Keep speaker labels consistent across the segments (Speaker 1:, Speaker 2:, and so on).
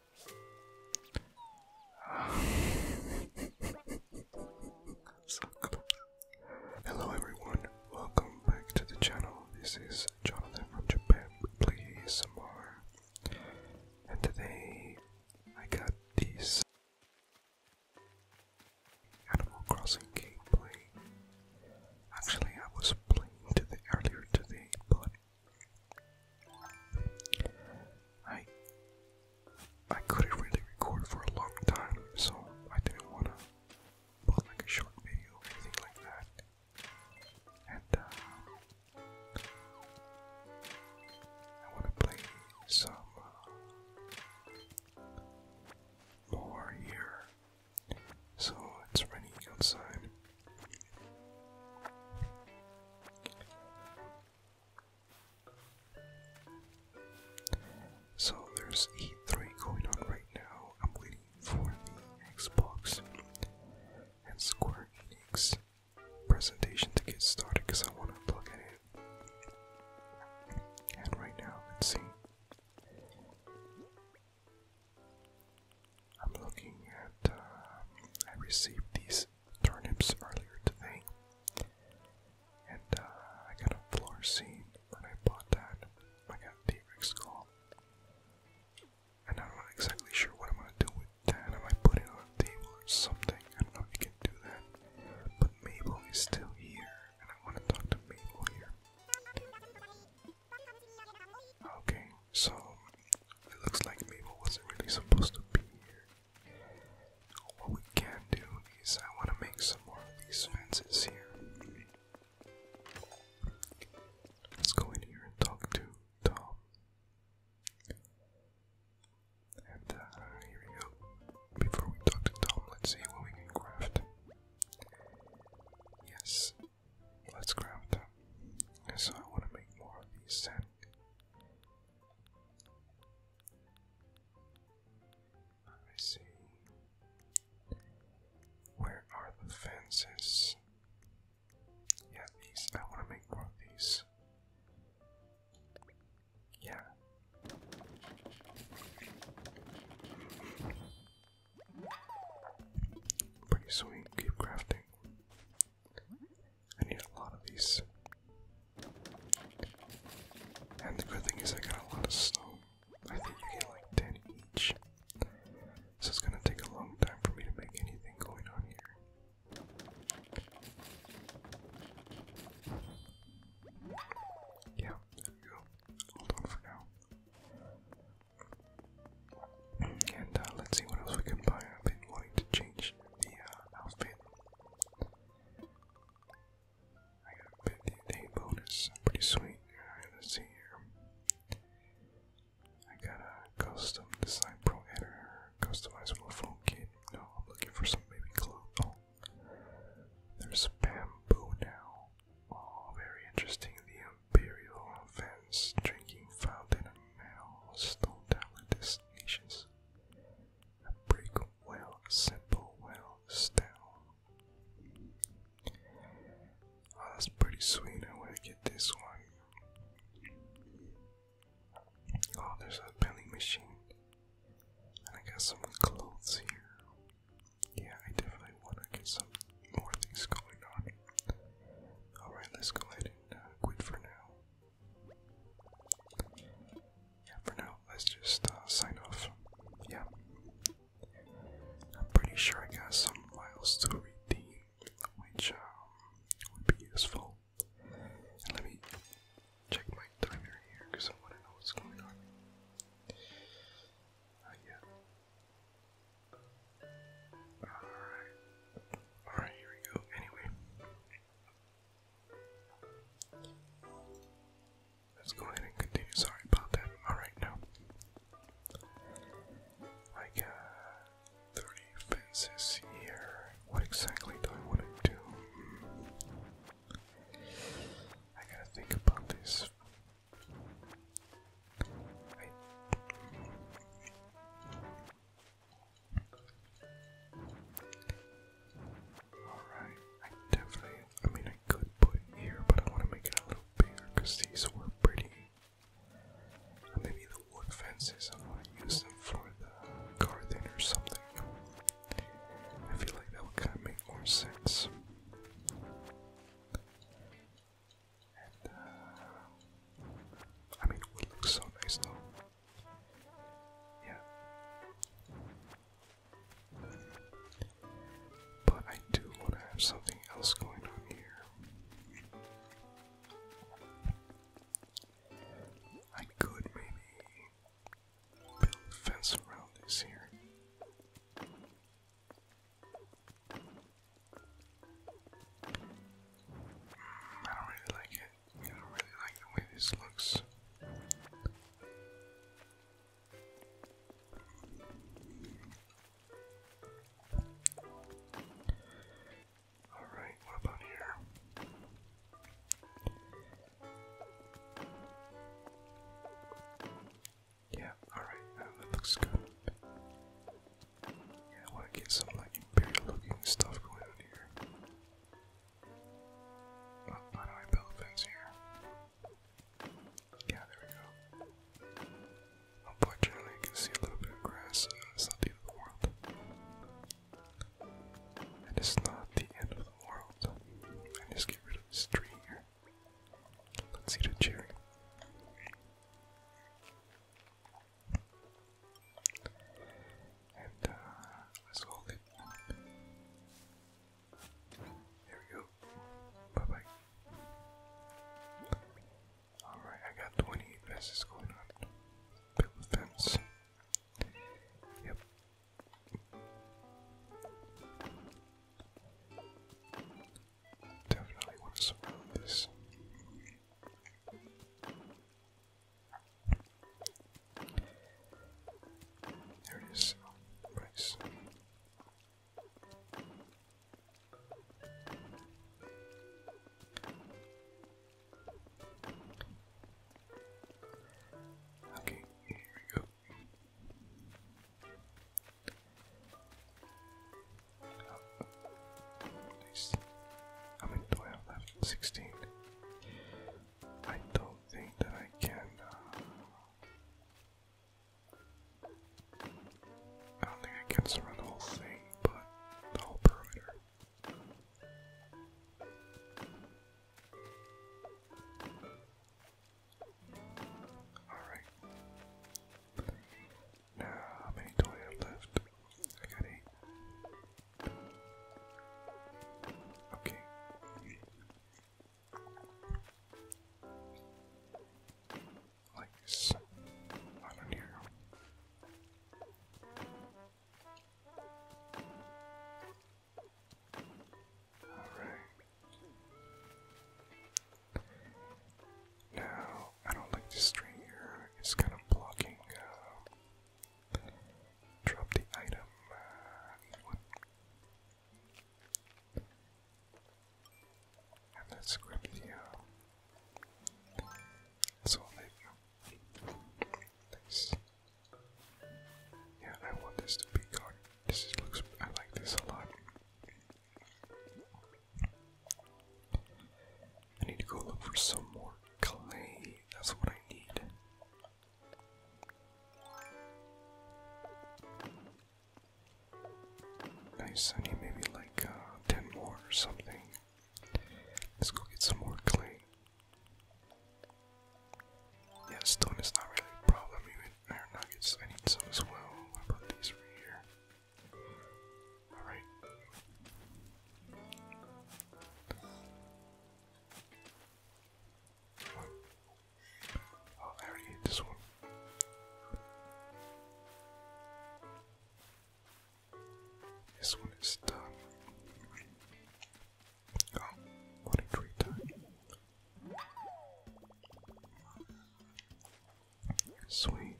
Speaker 1: Hello everyone, welcome back to the channel. This is Jonathan from Japan Please Samar. And today I got these Animal Crossing gameplay. Actually I was playing to the earlier today, but I I couldn't really record for a long time, so I didn't wanna put like a short video or anything like that. And uh, I wanna play some uh, more here. So it's raining outside. So there's E3 going on right now. I'm waiting for the Xbox and Square Enix presentation to get started because I want to look at it. And right now, let's see. I'm looking at. Uh, I received these these turnips earlier today. And uh, I got a floor scene when I bought that. I got a T-Rex skull. And I'm not exactly sure what I'm gonna do with that. I might put it on a table or something. I don't know if you can do that. But Mabel is still here, and I want to talk to Mabel here. Okay, so it looks like Mabel wasn't really supposed to be here. What we can do is I want to make some more of these fences here. Let's go in here and talk to Tom. And uh, here we go. Before we talk to Tom, let's see what we can craft. Yes, let's craft them. So I want to make more of these sand let me see. Where are the fences? Yeah, these. I want to make more of these. Yeah. Pretty sweet. Keep crafting. I need a lot of these. And the good thing is, I got a lot of snow. I think I get like 10 each. So it's gonna take a long time for me to make anything going on here. Yeah, there we go. Hold on for now. And uh, let's see what else we can buy. I've been wanting to change the outfit. I got a 50 day bonus, pretty sweet. let's see here. I got a custom design pro editor, customizable phone kit. No, I'm looking for some baby clothes. Oh, there's bamboo now. Oh, very interesting. The imperial fence, drinking fountain, and metal stone tablet destinations a well, simple well, stone. Oh, that's pretty sweet. I want to get this one. Oh, there's a vending machine. I got some clothes here. Yeah, I definitely want to get some more things going on. Alright, let's go ahead and uh, quit for now. Yeah, for now, let's just uh, sign off. Yeah. I'm pretty sure I got some miles to redeem, which um, would be useful. let me check my timer here because I want to know what's going on. Uh, yeah. Alright. Alright, here we go. Anyway. Let's go ahead and continue. Sorry about that. Alright, now. I got 30 fences here. What exactly do I want to do? Hmm. I gotta think about this. Alright, I definitely, I mean, I could put here, but I want to make it a little bigger because these were pretty. maybe the wood fences, I want use them for the garden or something. I feel like that would kind of make more sense. And, uh, I mean, it would look so nice though. Yeah. But I do want to have something else going on here. I could maybe build a fence around this here. Mm, I don't really like it. I don't really like the way this looks. Alright, what about here? Yeah, alright, that looks good. Yeah, I want get some like imperial looking stuff going on here how oh, do I build a here? Yeah, there we go. Unfortunately, can see a little bit of grass, it's not the end of the world. it's not the end of the world. I just get rid of this tree here. Let's eat a cherry. And uh, let's hold it. There we go. Bye bye. Alright, I got 28 fences going on. Build the fence. Yep. Definitely want to surround this. There it is. Price. Okay, here we go. Oh, nice. How many left? Sixteen. I don't think that I can. Uh, I don't think I can surround the whole thing, but the whole perimeter. Alright. how many do left? I got eight. Okay. Like this. I don't hear. Alright. Now, I don't like this string here. It's kind of blocking uh, drop the item. And let's grab so there you Yeah, I want this to be gone. This is, looks. I like this a lot. I need to go look for some more clay. That's what I need. Nice, I need maybe like uh, 10 more or something. Let's go get some more clay. Yeah, stone is not really a problem. Even iron nuggets, I need some as well. What about these right here? Alright. I already ate this one. This one is done. Oh, what a treat Sweet.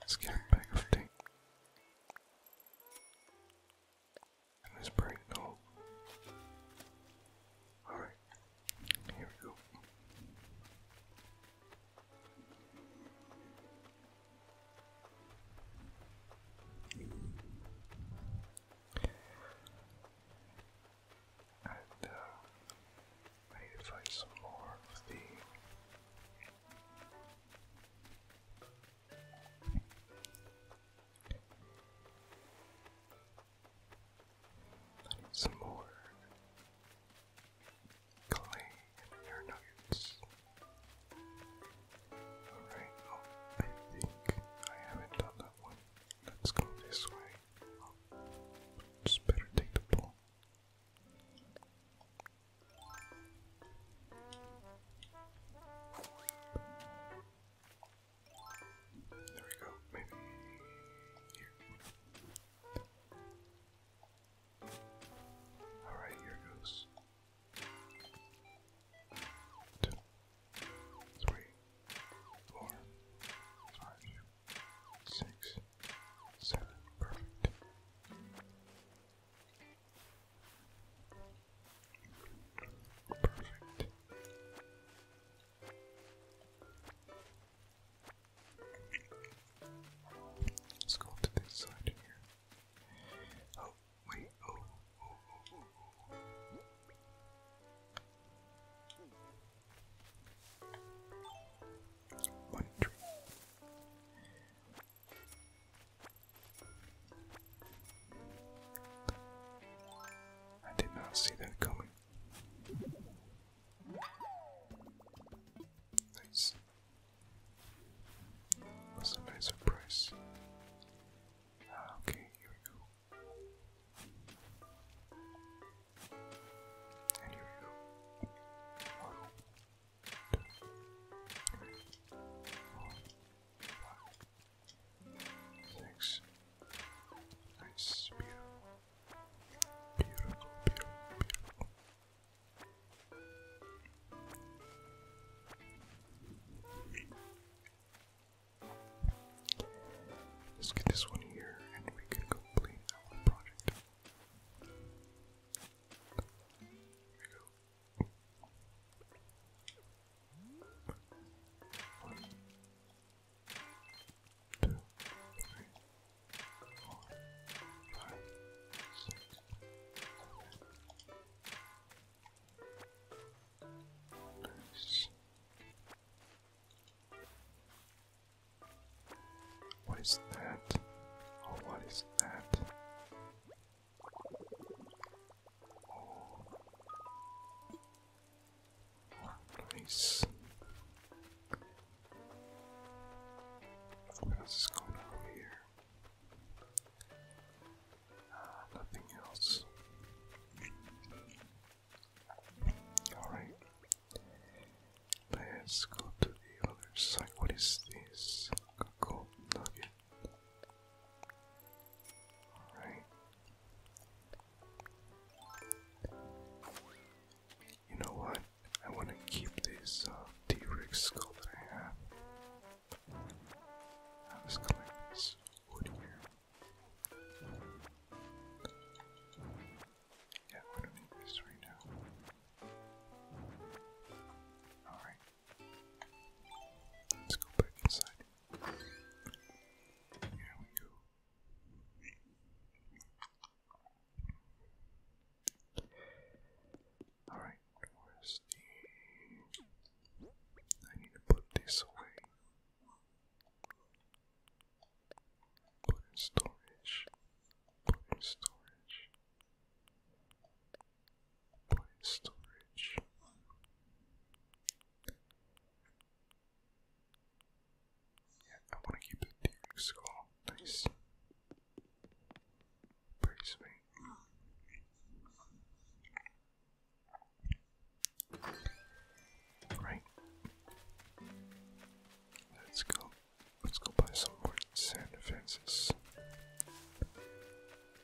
Speaker 1: Let's get a bag of things. Let's break, no. Alright, here we go. Uh, I need to find some more of the I need some more clay and air nuggets. Alright, oh, I think I haven't done that one. Let's go this way. Oh, just better take the ball. There we go, maybe here. Alright, here goes. Two, three, four, five, six, seven, perfect. Let's go to this side here. Oh, wait, oh, oh, oh, oh I did not see that coming. Nice. Was a nice surprise. Ah, okay, here we And here we Six. Nice. Beautiful. Beautiful, beautiful, Let's get this one here and we can complete our project. There we go. Two, three, four, five, six, seven. What is that? Oh, what is that? Nice. What else is going on here? Ah, nothing else. Alright. Let's go to the other side. What is this? Gold nugget. You know what? I want to keep this uh, T Rex skull that I have. Now let's collect this wood here. Yeah, we don't need this right now. Alright. Let's go back inside. Here we go. Alright, where's the. I need to put this away. Put in storage. Put in storage. Point storage. Yeah, I want to keep the Derek skull. Nice. Pretty sweet. Right. Let's go. Let's go buy some more sand fences.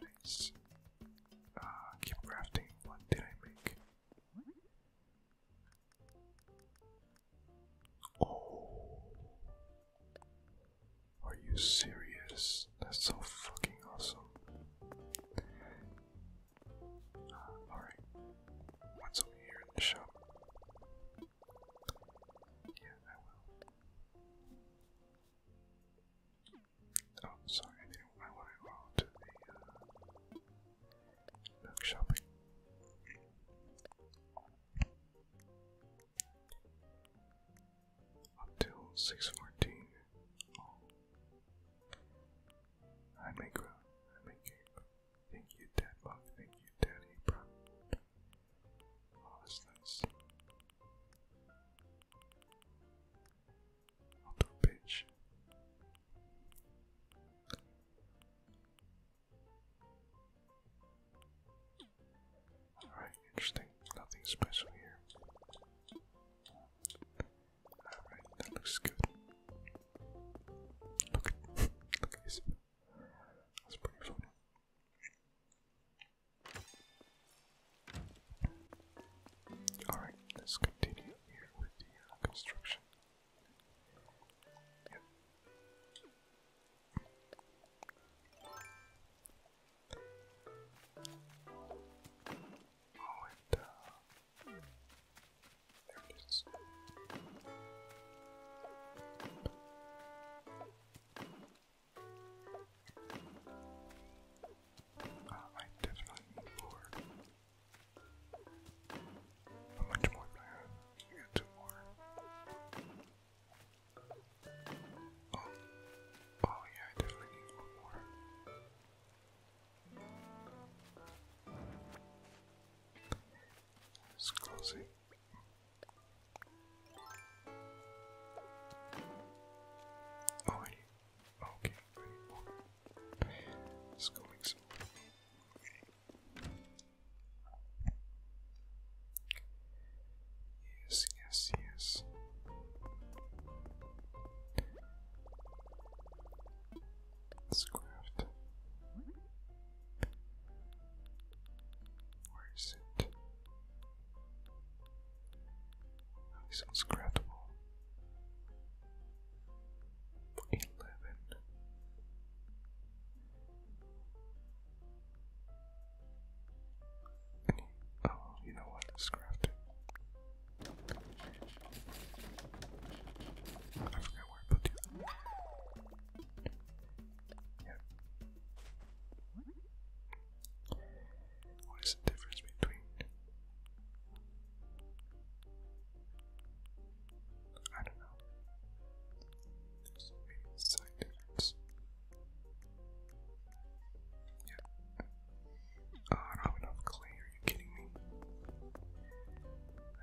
Speaker 1: Let's uh, keep crafting. What did I make? Oh, are you serious? That's so fucking awesome. Uh, Alright, what's over here in the shop? Yeah, I will. Oh, sorry, I didn't want to go to the bookshop. Uh, milk shopping. six fourteen. Oh. I make grow. Uh, thank you, Dad Thank you, Daddy Bro. Oh, that's Alright, interesting. Nothing special here. Alright, that looks good. Look at, look at this. That's pretty funny. Alright, let's continue here with the uh, construction. Oh, and uh, there it is. Uh, I definitely need more. How much more do I have? two more. Oh, oh yeah, definitely need more. Let's Oh, Okay, Let's go make some Yes, yes, yes. let Where is it? He's unscratchable. Eleven. oh, you know what? Scrapped it. I forgot where I put you. Yep. What is the difference between? I don't know. There's Yeah. Uh, I don't have you kidding me?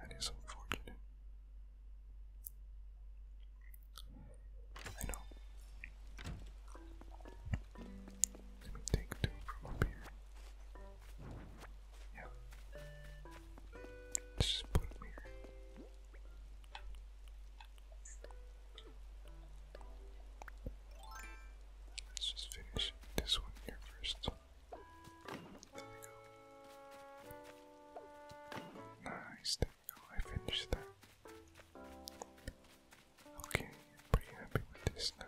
Speaker 1: That is unfortunate. I know. Let me take two from up here. Yeah. just put them here. Let's just finish this one here first. There we go. Nice, there we go. I finished that. Okay, I'm pretty happy with this now.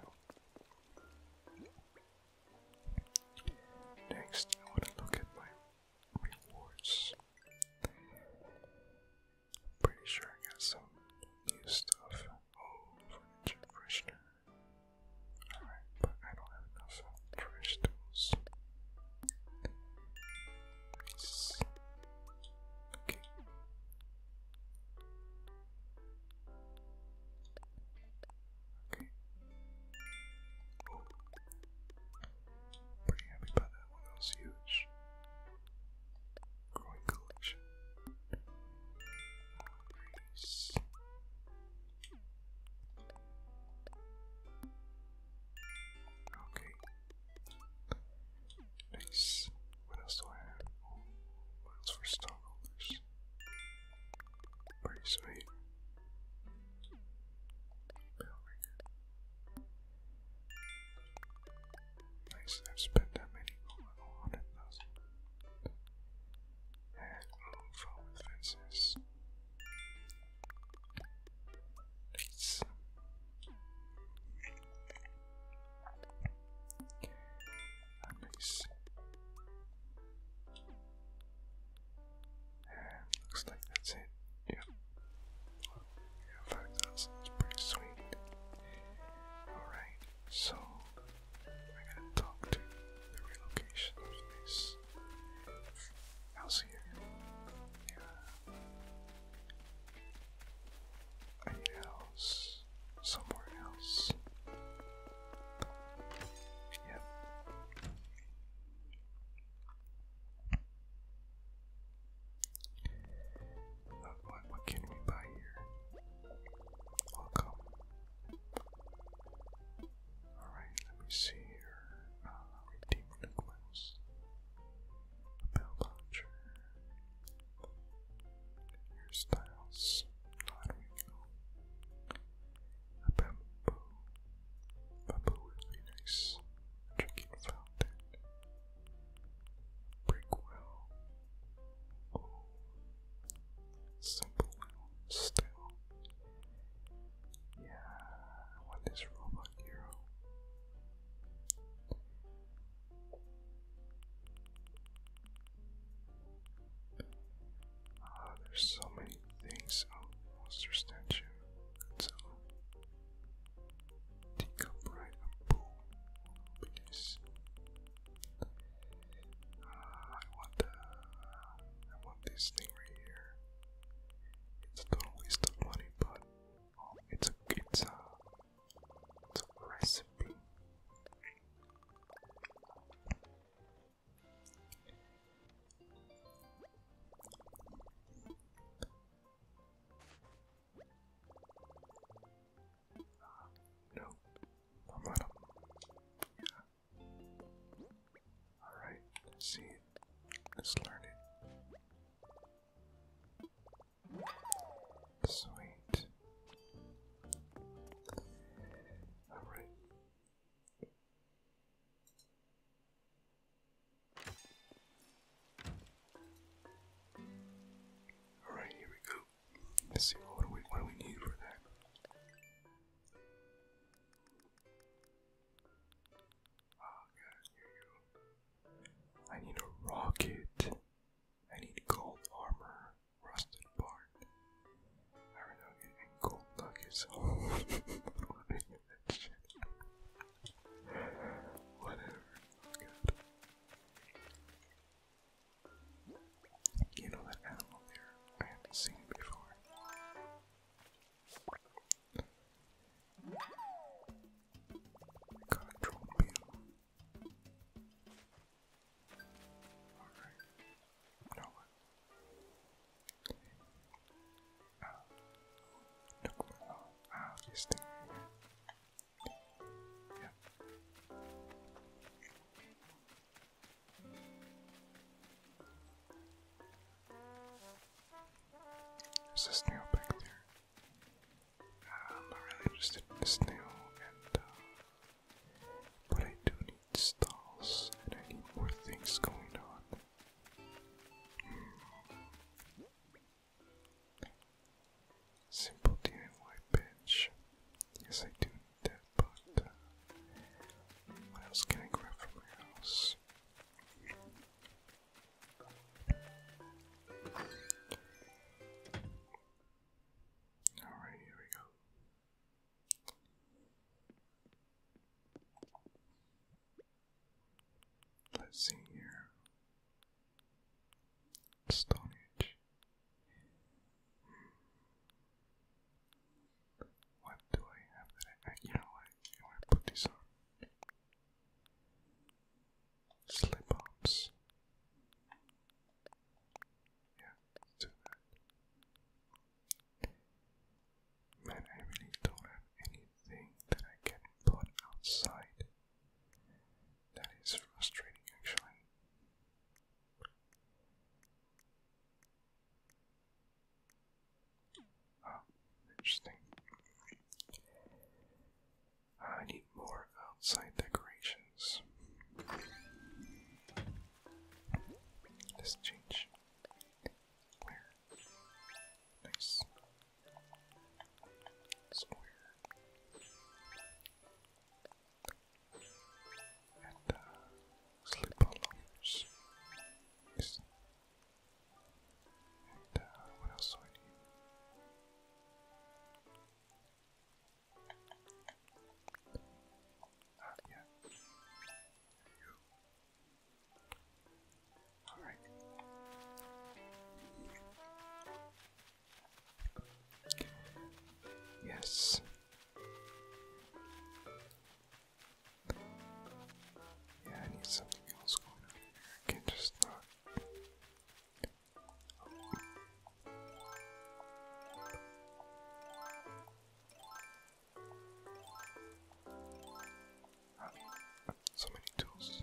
Speaker 1: Next, I want to look at my rewards. pretty sure I got some new stuff. Oh, furniture Alright, but I don't have enough trash tools. Okay. Okay. Pretty happy about that was huge. Growing collection. Oh, okay, Nice. What else do I have? Oh, miles for stockholders. Pretty sweet. Nice, I've spent that many. Oh, oh And room for fences. Nice. That And looks like that's it. Yep. yeah, 5,000 is pretty sweet. Alright, so I gotta talk to the relocation of this house here. Yeah. I need a somewhere else. Yep. What, can we buy here? Welcome. Alright, let me see here. Uh, redeem liquids. A bell launcher hairstyles, not illegal. A bamboo, would be nice. drinking fountain, brick well, simple still. Yeah, I robot hero. Ah, there's so many things. Oh, monster statue. So, uh, dig up pool. Please. Ah, I want I want this thing right here. It's a total waste of money, but oh, it's a it's uh, recipe. Uh, no, I'm on Yeah. Alright, see it. let learn it. Sweet. Alright. Alright, here we go. Let's see what do we what do we need for that. Oh here you go. I need a rocket. I need gold armor, rusted part, iron nugget, and gold nuggets. Whatever. You know that animal there? I haven't seen before. I got Alright. this thing There's a snail back there. Um, I'm not really interested in this now, uh, but I do need stalls, and I need more things going on. Simple DIY bench. Yes, I do that, but uh, what else can I grab from my house? Alright, here we go. Let's see here. Stone hmm. What do I have that I, you know what, I put these on. Slip-ups. Yeah, let's I really don't have anything that I can put outside. That is frustrating, actually. Ah, interesting. I need more outside decorations. Let's change. Where? Nice. Square. And uh, slip And uh, what else do I need? Yes. Yeah, I need something else going can't just not so many tools.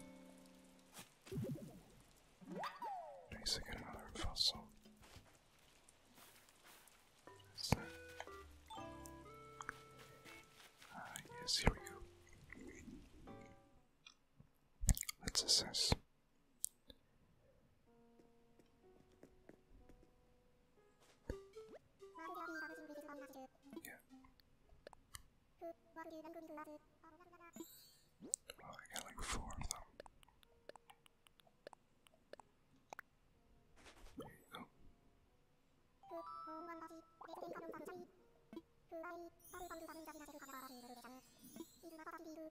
Speaker 1: Nice, another fossil. What's that? Ah, here we go. Let's assess.
Speaker 2: Yeah. Well, I got like four of them. you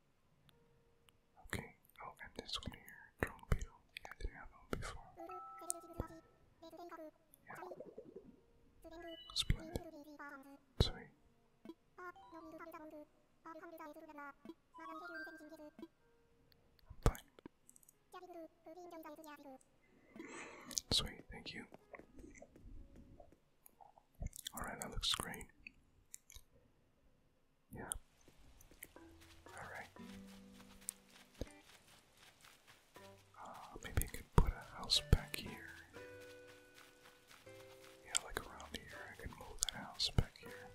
Speaker 1: Okay, I'll this one here. Drone beetle. I didn't
Speaker 2: have before. Yeah. Splendid. Sorry. i
Speaker 1: Sweet, thank you. Alright, that looks great. Yeah. Alright. Uh, maybe I could put a house back here. Yeah, like around here. I could move that house back here.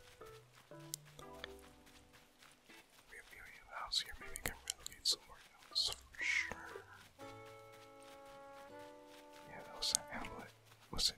Speaker 1: We have, we have a here. Maybe I can relocate somewhere else for sure. Yeah, that was an outlet. Was it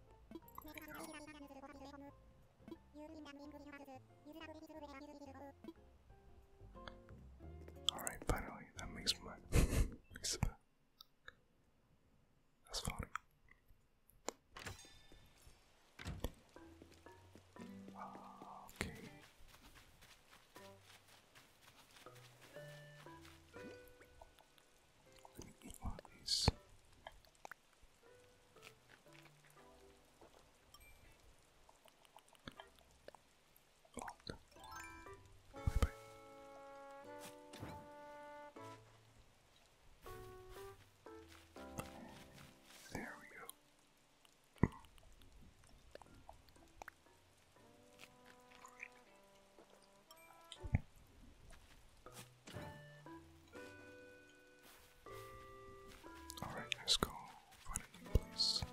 Speaker 1: Alright, finally, that makes my makes That's funny. Ah, okay. Let me eat one of these. Bye bye. There we go. Alright, let's go find a new place.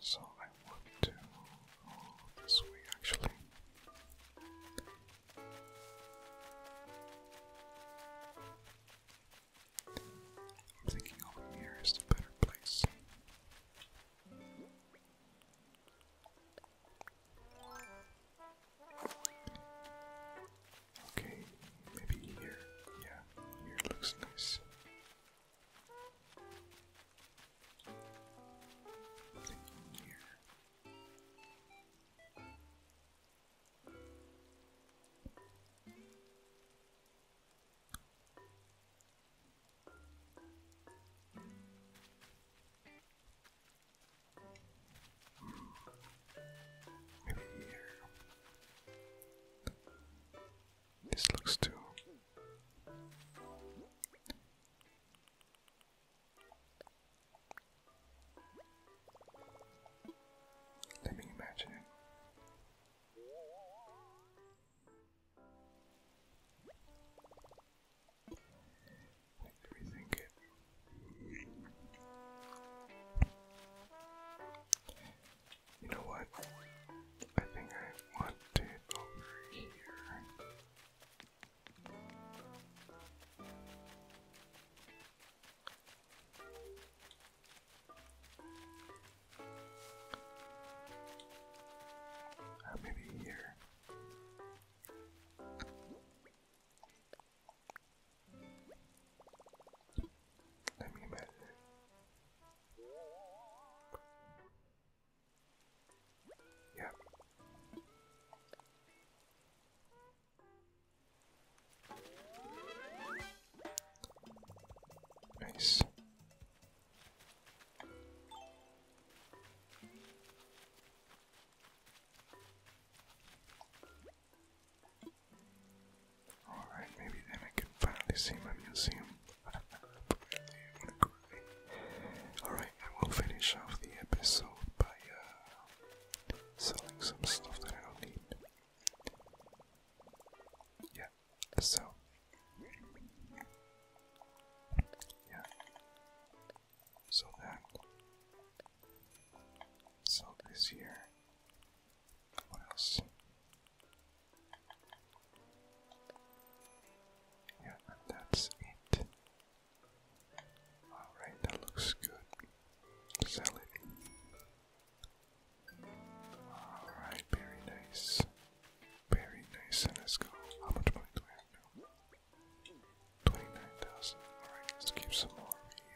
Speaker 1: So I want to oh, this way actually. I'm thinking over here is the better place. Okay, maybe here. Yeah, here looks nice. Nothing here. Maybe here. This looks too. Let me imagine you know what? I think I want it over here. Uh, maybe here. Let me imagine. Yeah. Nice. Alright, maybe then I can finally see my museum. Alright, I will finish off the episode by uh, selling some stuff that I don't need. Yeah, so. Yeah so that so this year what else? Yeah, and that's it. Alright, that looks good. Sell it. Alright, very nice. Very nice, and How much money do we have 29,000. Alright, let's keep some more here.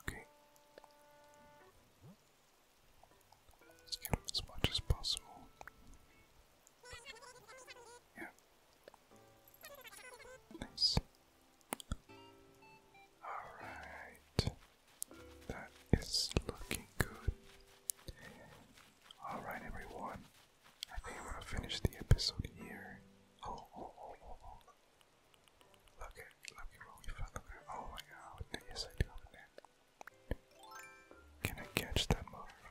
Speaker 1: Okay. Let's give as much as possible. Yeah. Nice. Alright. That is looking good. Alright, everyone. I think I'm gonna finish the episode here. Oh, oh, oh, oh, oh. Look at, look at what we Oh my god. Yes, I
Speaker 2: do Can I catch that mother?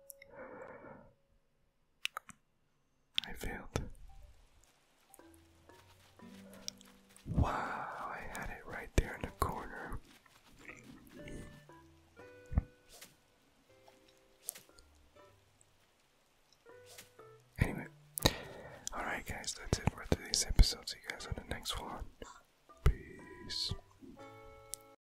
Speaker 1: I failed. Wow, I had it right there in the corner. Anyway, alright, guys, that's it for today's episode. See you guys on the next one. Peace.